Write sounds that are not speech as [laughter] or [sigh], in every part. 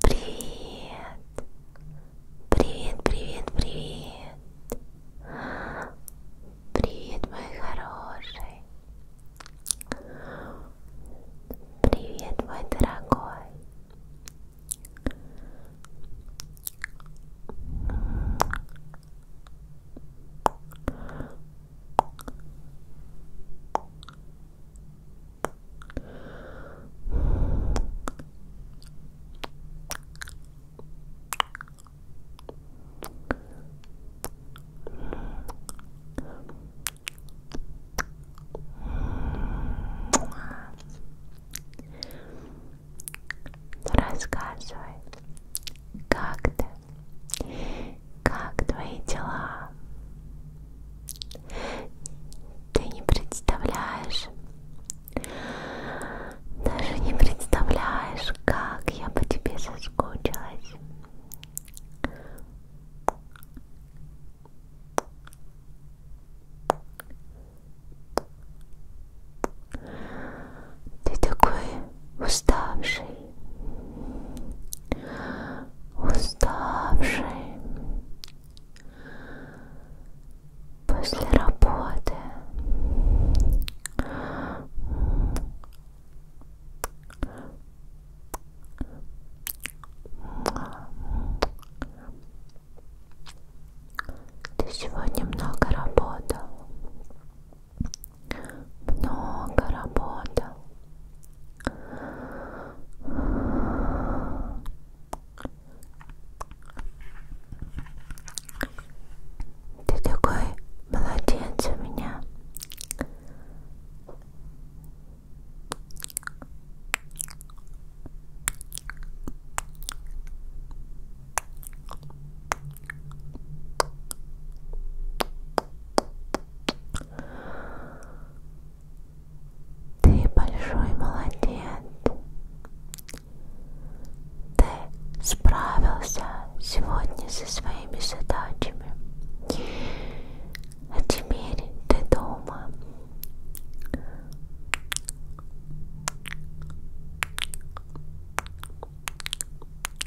Привет, привет, привет, привет, привет, мой хороший, привет, мой дорогой. Привет, Рассказывай, как ты? Как твои дела? Ты не представляешь, даже не представляешь, как я по тебе соскучилась. Ты такой уставший, уставший после работы. Ты сегодня много работал много работал. Ты такой молодец у меня. Ты большой молодец. Ты справился сегодня со своими задачами. А теперь ты дома.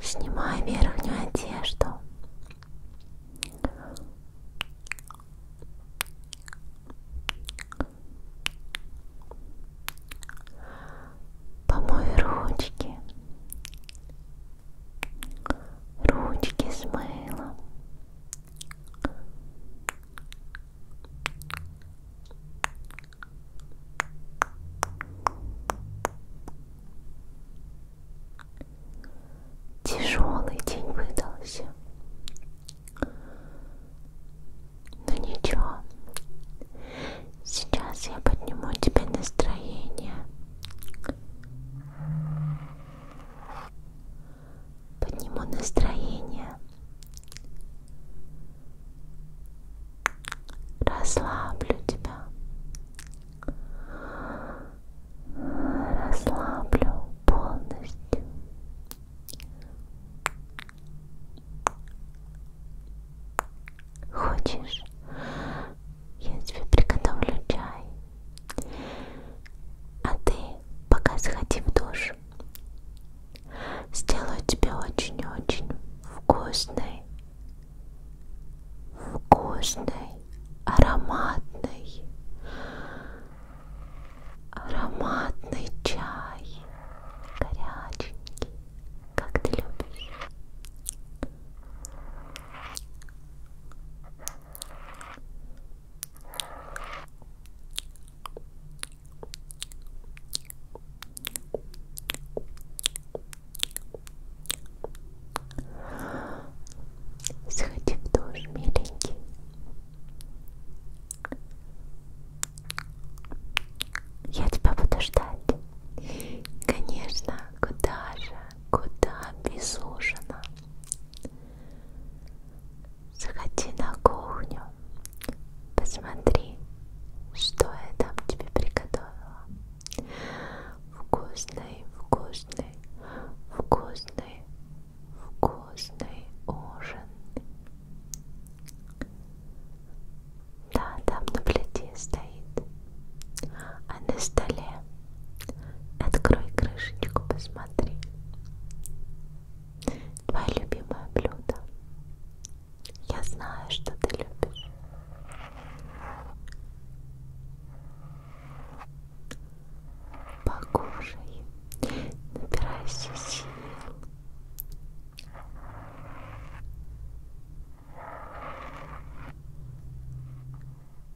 Снимай верхнюю одежду. Помой ручки, ручки с мылом. Помой Тяжелый день выдался. Но ну, ничего. Сейчас я подниму тебе настроение. Подниму настроение. Расслаблю тебя расслаблю полностью. Хочешь, я тебе приготовлю чай, а ты пока сходи в душ. Сделаю тебе очень-очень вкусный, вкусный, ароматный Ароматный чай, горяченький, как ты любишь. Сходи в душ, миленький. Я тебя буду ждать. Конечно, куда же, куда без ужина? Заходи на кухню, посмотри, что я там тебе приготовила. Вкусный, вкусный, вкусный вкусный ужин. Да, там на плите стоит. А на столе открой крышечку, посмотри. Твое любимое блюдо. Я знаю, что ты любишь. Покушай, набирайся сил.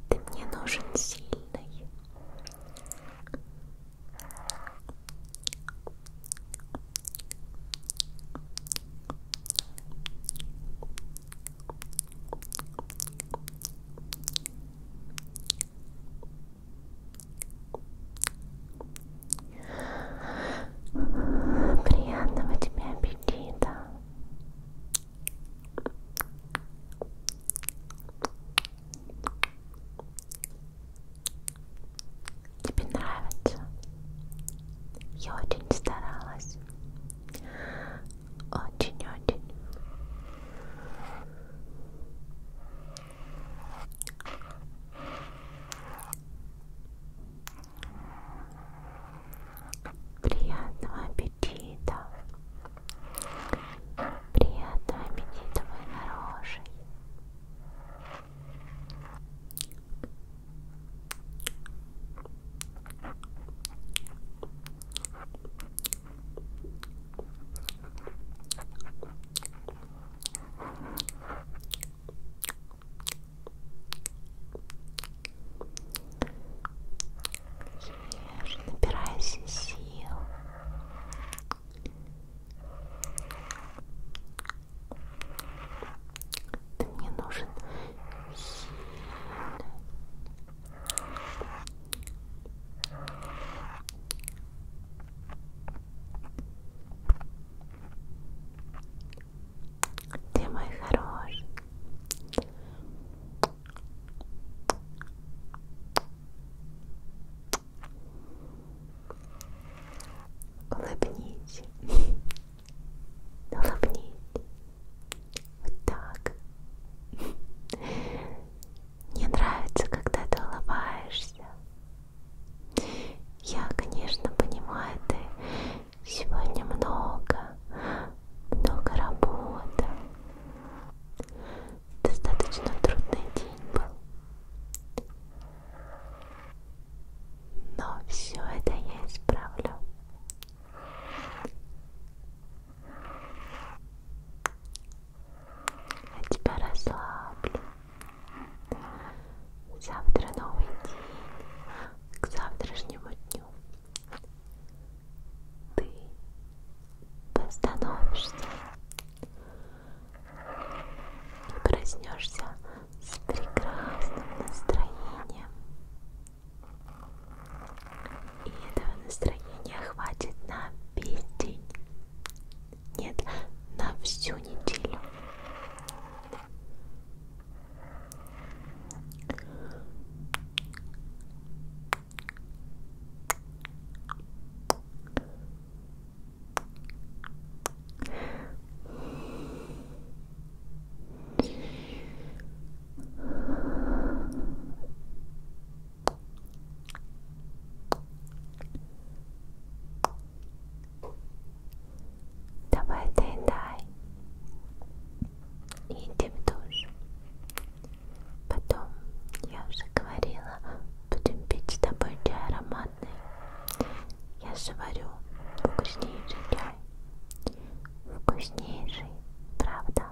Ты мне нужен сильный. Покушай, Приятного тебе аппетита. Тебе нравится? Я очень старалась. Очень-очень. Приятного аппетита. Приятного аппетита, мой хороший. Ешь, набирайся сил. Ты мне нужен сильный, ты мой хороший. Улыбнись. Улыбнись. Вот так. Мне нравится, когда ты улыбаешься. Я, конечно, понимаю, ты сегодня много, много работы. Достаточно трудный день был. Но все это я исправлю. Я тебя расслаблю. Завтра новый день. К завтрашнему дню ты восстановишься и проснешься с прекрасным настроением. И этого настроения хватит на весь день. Нет, на всю неделю. Давай доедай и идем в душ. Потом, я уже говорила, будем пить с тобой чай ароматный. Я же варю вкуснейший чай. Вкуснейший, правда?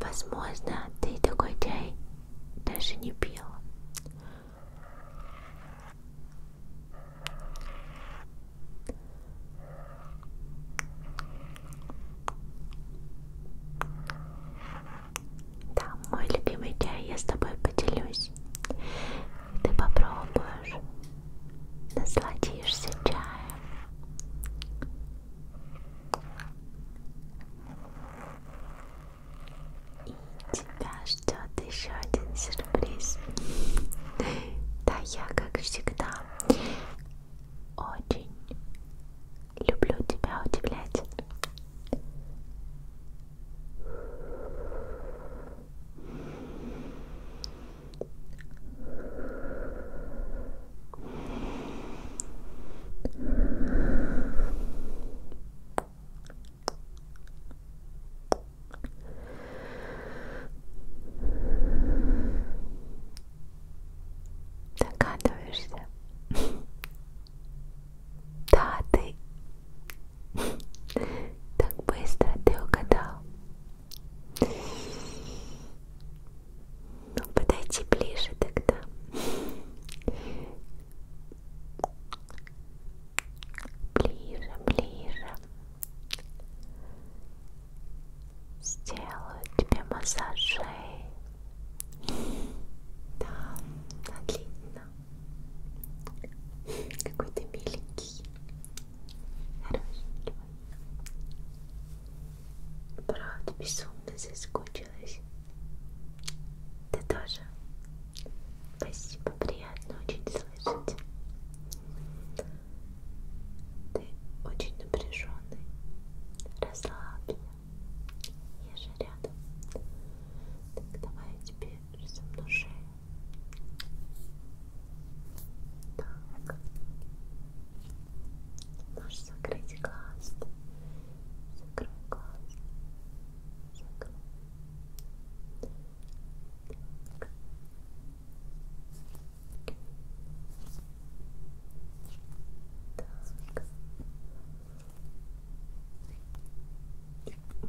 Возможно, ты такой чай даже не пил. Да, мой любимый чай я с тобой поделюсь. Ты попробуешь насладишься чаем. И тебя ждет еще один сюрприз. Да, я, как всегда, очень люблю тебя удивлять. Догадываешься? [laughs] Да, ты [laughs] так быстро ты угадал. Ну, подойди ближе тогда. Ближе, ближе. Сделаю тебе массаж шеи. Да, отлично. Какой ты миленький. Правда, безумно соскучилась. Ты тоже. Спасибо, приятно очень слышать. Ты очень напряженный. Расслабься. Я же рядом. Так, давай я тебе разомну шею. Так. Можешь закрыть глаз. Закрой глаз. Закрой. Так. Так.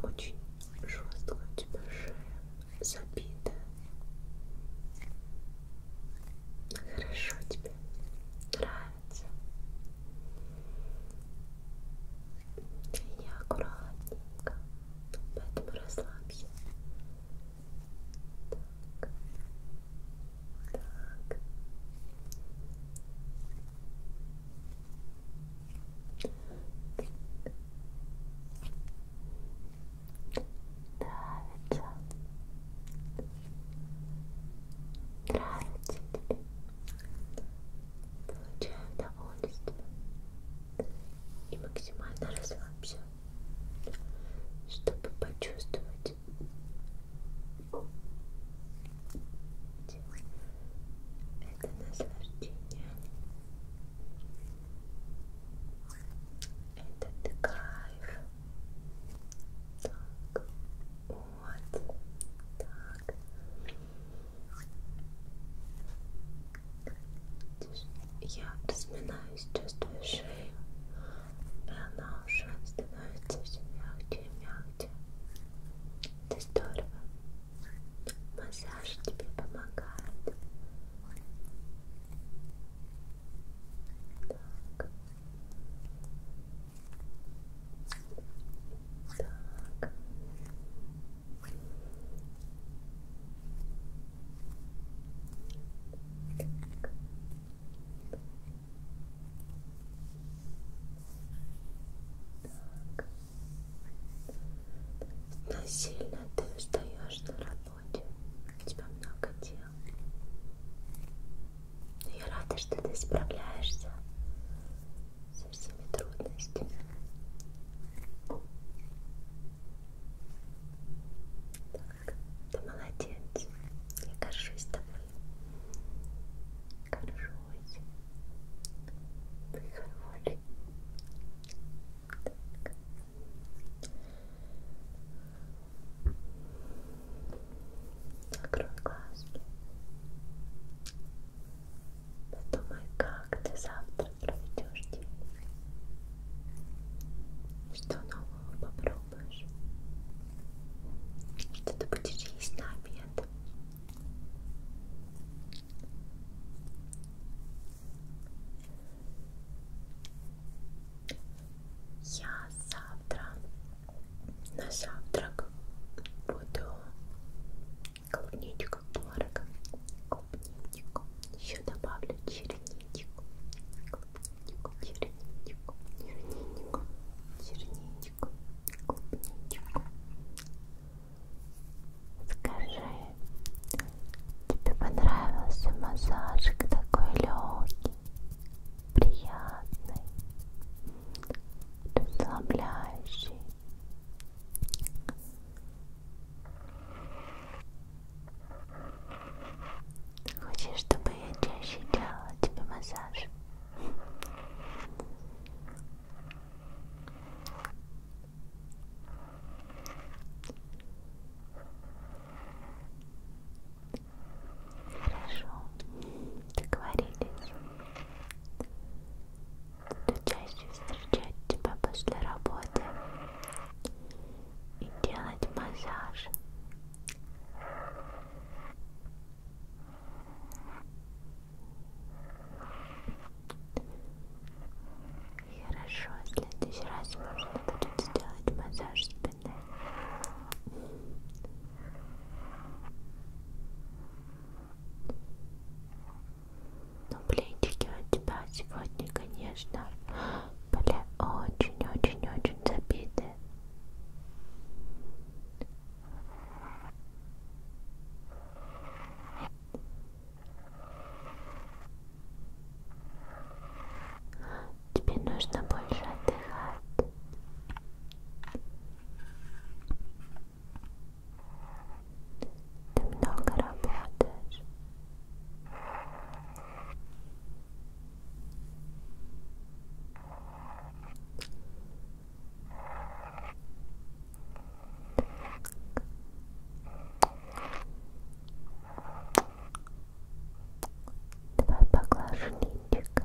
Очень жестко у тебя шея забита. Хорошо тебе нравится. Я аккуратненько, поэтому расслабься. Так, так. Так. Нравится. Нравится тебе. Получаем удовольствие. И максимально расслабься, чтобы почувствовать это наслаждение этот кайф. Так, вот, так. Я разминаюсь, чувствую шею, и она уже становится все мягче и мягче. Это здорово. Массаж тебе помогает. Так. Так. Так. Так. Насильно ты устаешь на работе работе. У тебя много дел. Но я рада, что ты справляешься со всеми трудностями. Так, ты молодец. Я горжусь тобой. Горжусь. Ты хороший. Так. Закрой глазки. Подумай, как ты завтра проведешь день. Что нового попробуешь? Что ты будешь есть на обед? Я завтра на завтрак буду клубничку творогом, клубничку, еще добавлю черничку, клубничку, черничку, черничку, черничку, клубничку. Скажи, Тебе понравился массажик такой легкий, приятный, расслабляющий. Хочешь, чтобы я чаще делала тебе массаж? Хорошо, договорились. Буду чаще встречать тебя после работы и делать массаж. Хорошо, в следующий раз можно будет сделать массаж спины. Но ну, плечики у тебя сегодня, конечно, были очень-очень-очень забиты. Тебе нужно больше отдыхать. Ты много работаешь. Так. Давай поглажу линчик.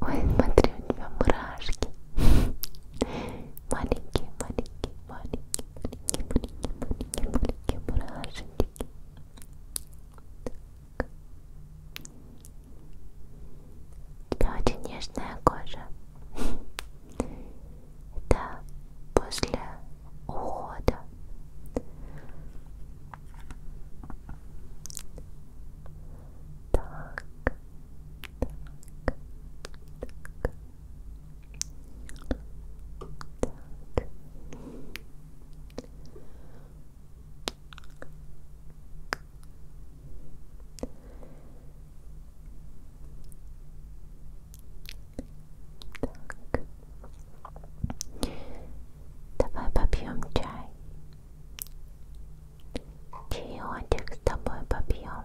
Ой, смотри, у тебя мурашки. Маленькие, маленькие, маленькие, маленькие, маленькие, маленькие, маленькие мурашки. Так. У тебя очень нежная кожа да, после ухода. Так, так, так, так. Так. Так. Давай попьем чай. Чаечек с тобой попьем.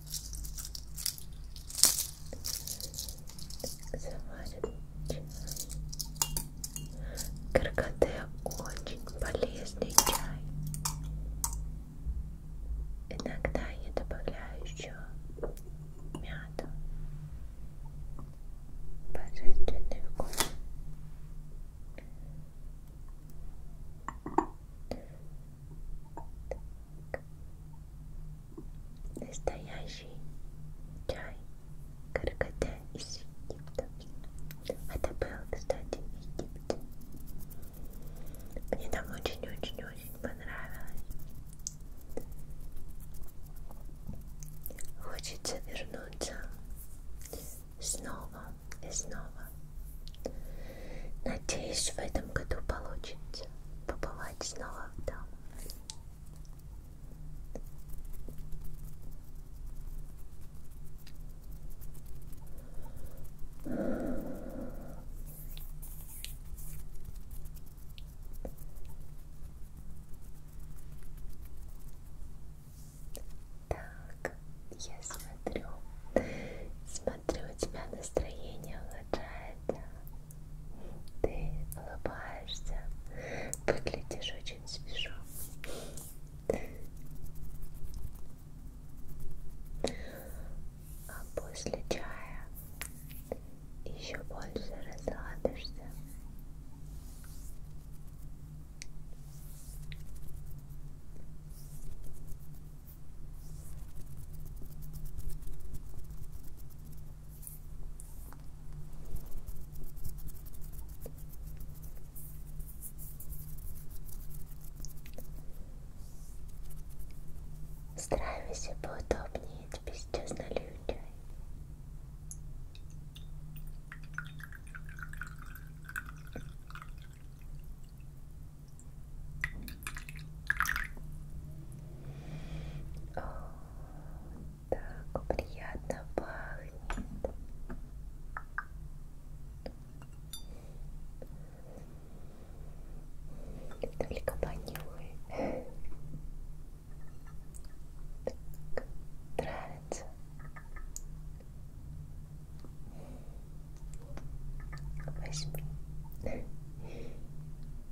заварим чай. Каркаде очень полезный чай. Иногда я добавляю еще мяту. Божественный вкус. Так настоящий чай карката из Египта. Это был, кстати, в Египте. Мне там очень-очень-очень понравилось. Хочется вернуться снова и снова. Надеюсь, в этом году получится побывать снова там. Так, я смотрю, смотрю, у тебя настроение улучшается. Ты улыбаешься, выглядишь очень свежо. А после чая еще больше разладишься. Стараемся поудобнее, тебе сейчас налюбляй. О, так приятно пахнет. Только понюхай. Так, нравится. Возьми.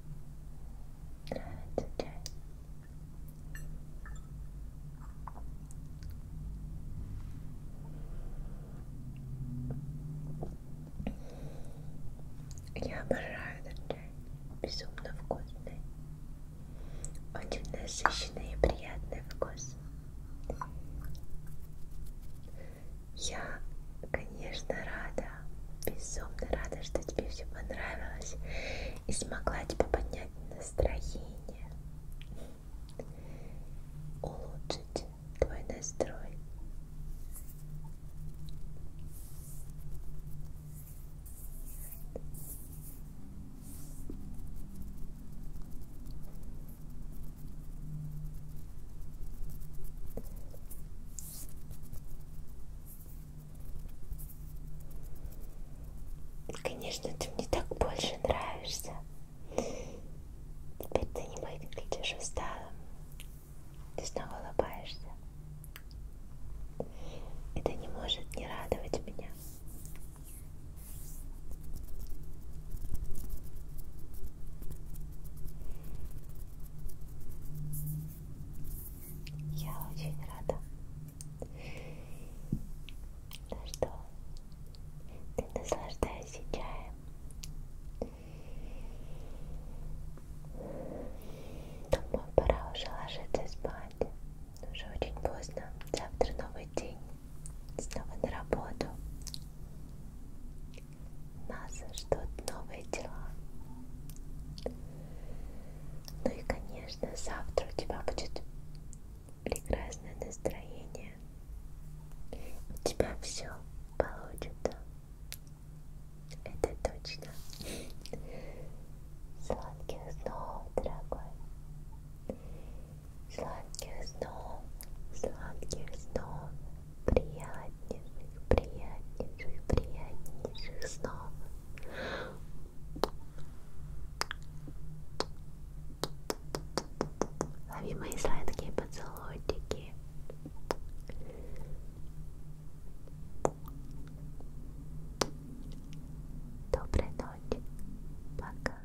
Нравится чай? Я обожаю этот чай. Безумно вкусный. Очень насыщенный и приятный вкус. Я, конечно, рада, безумно рада, что тебе все понравилось и смогла тебе поднять настроение, улучшить твой настрой. Конечно, ты мне так больше нравишься. Теперь ты не выглядишь усталым. Ты снова улыбаешься. Это не может не радовать меня. Я очень рада. Ну что, ты наслаждаешься чаем? Думаю, пора уже ложиться спать. Уже очень поздно. Завтра новый день. Снова на работу. Нас ждут новые дела. Ну и, конечно, завтра у тебя будет прекрасное настроение. У тебя все получится. Это точно. Сладких снов, дорогой. Сладких снов, сладких снов. приятнейших, приятнейших, приятнейших снов. Лови мои сладкие поцелуйчики. Доброй ночи. Пока.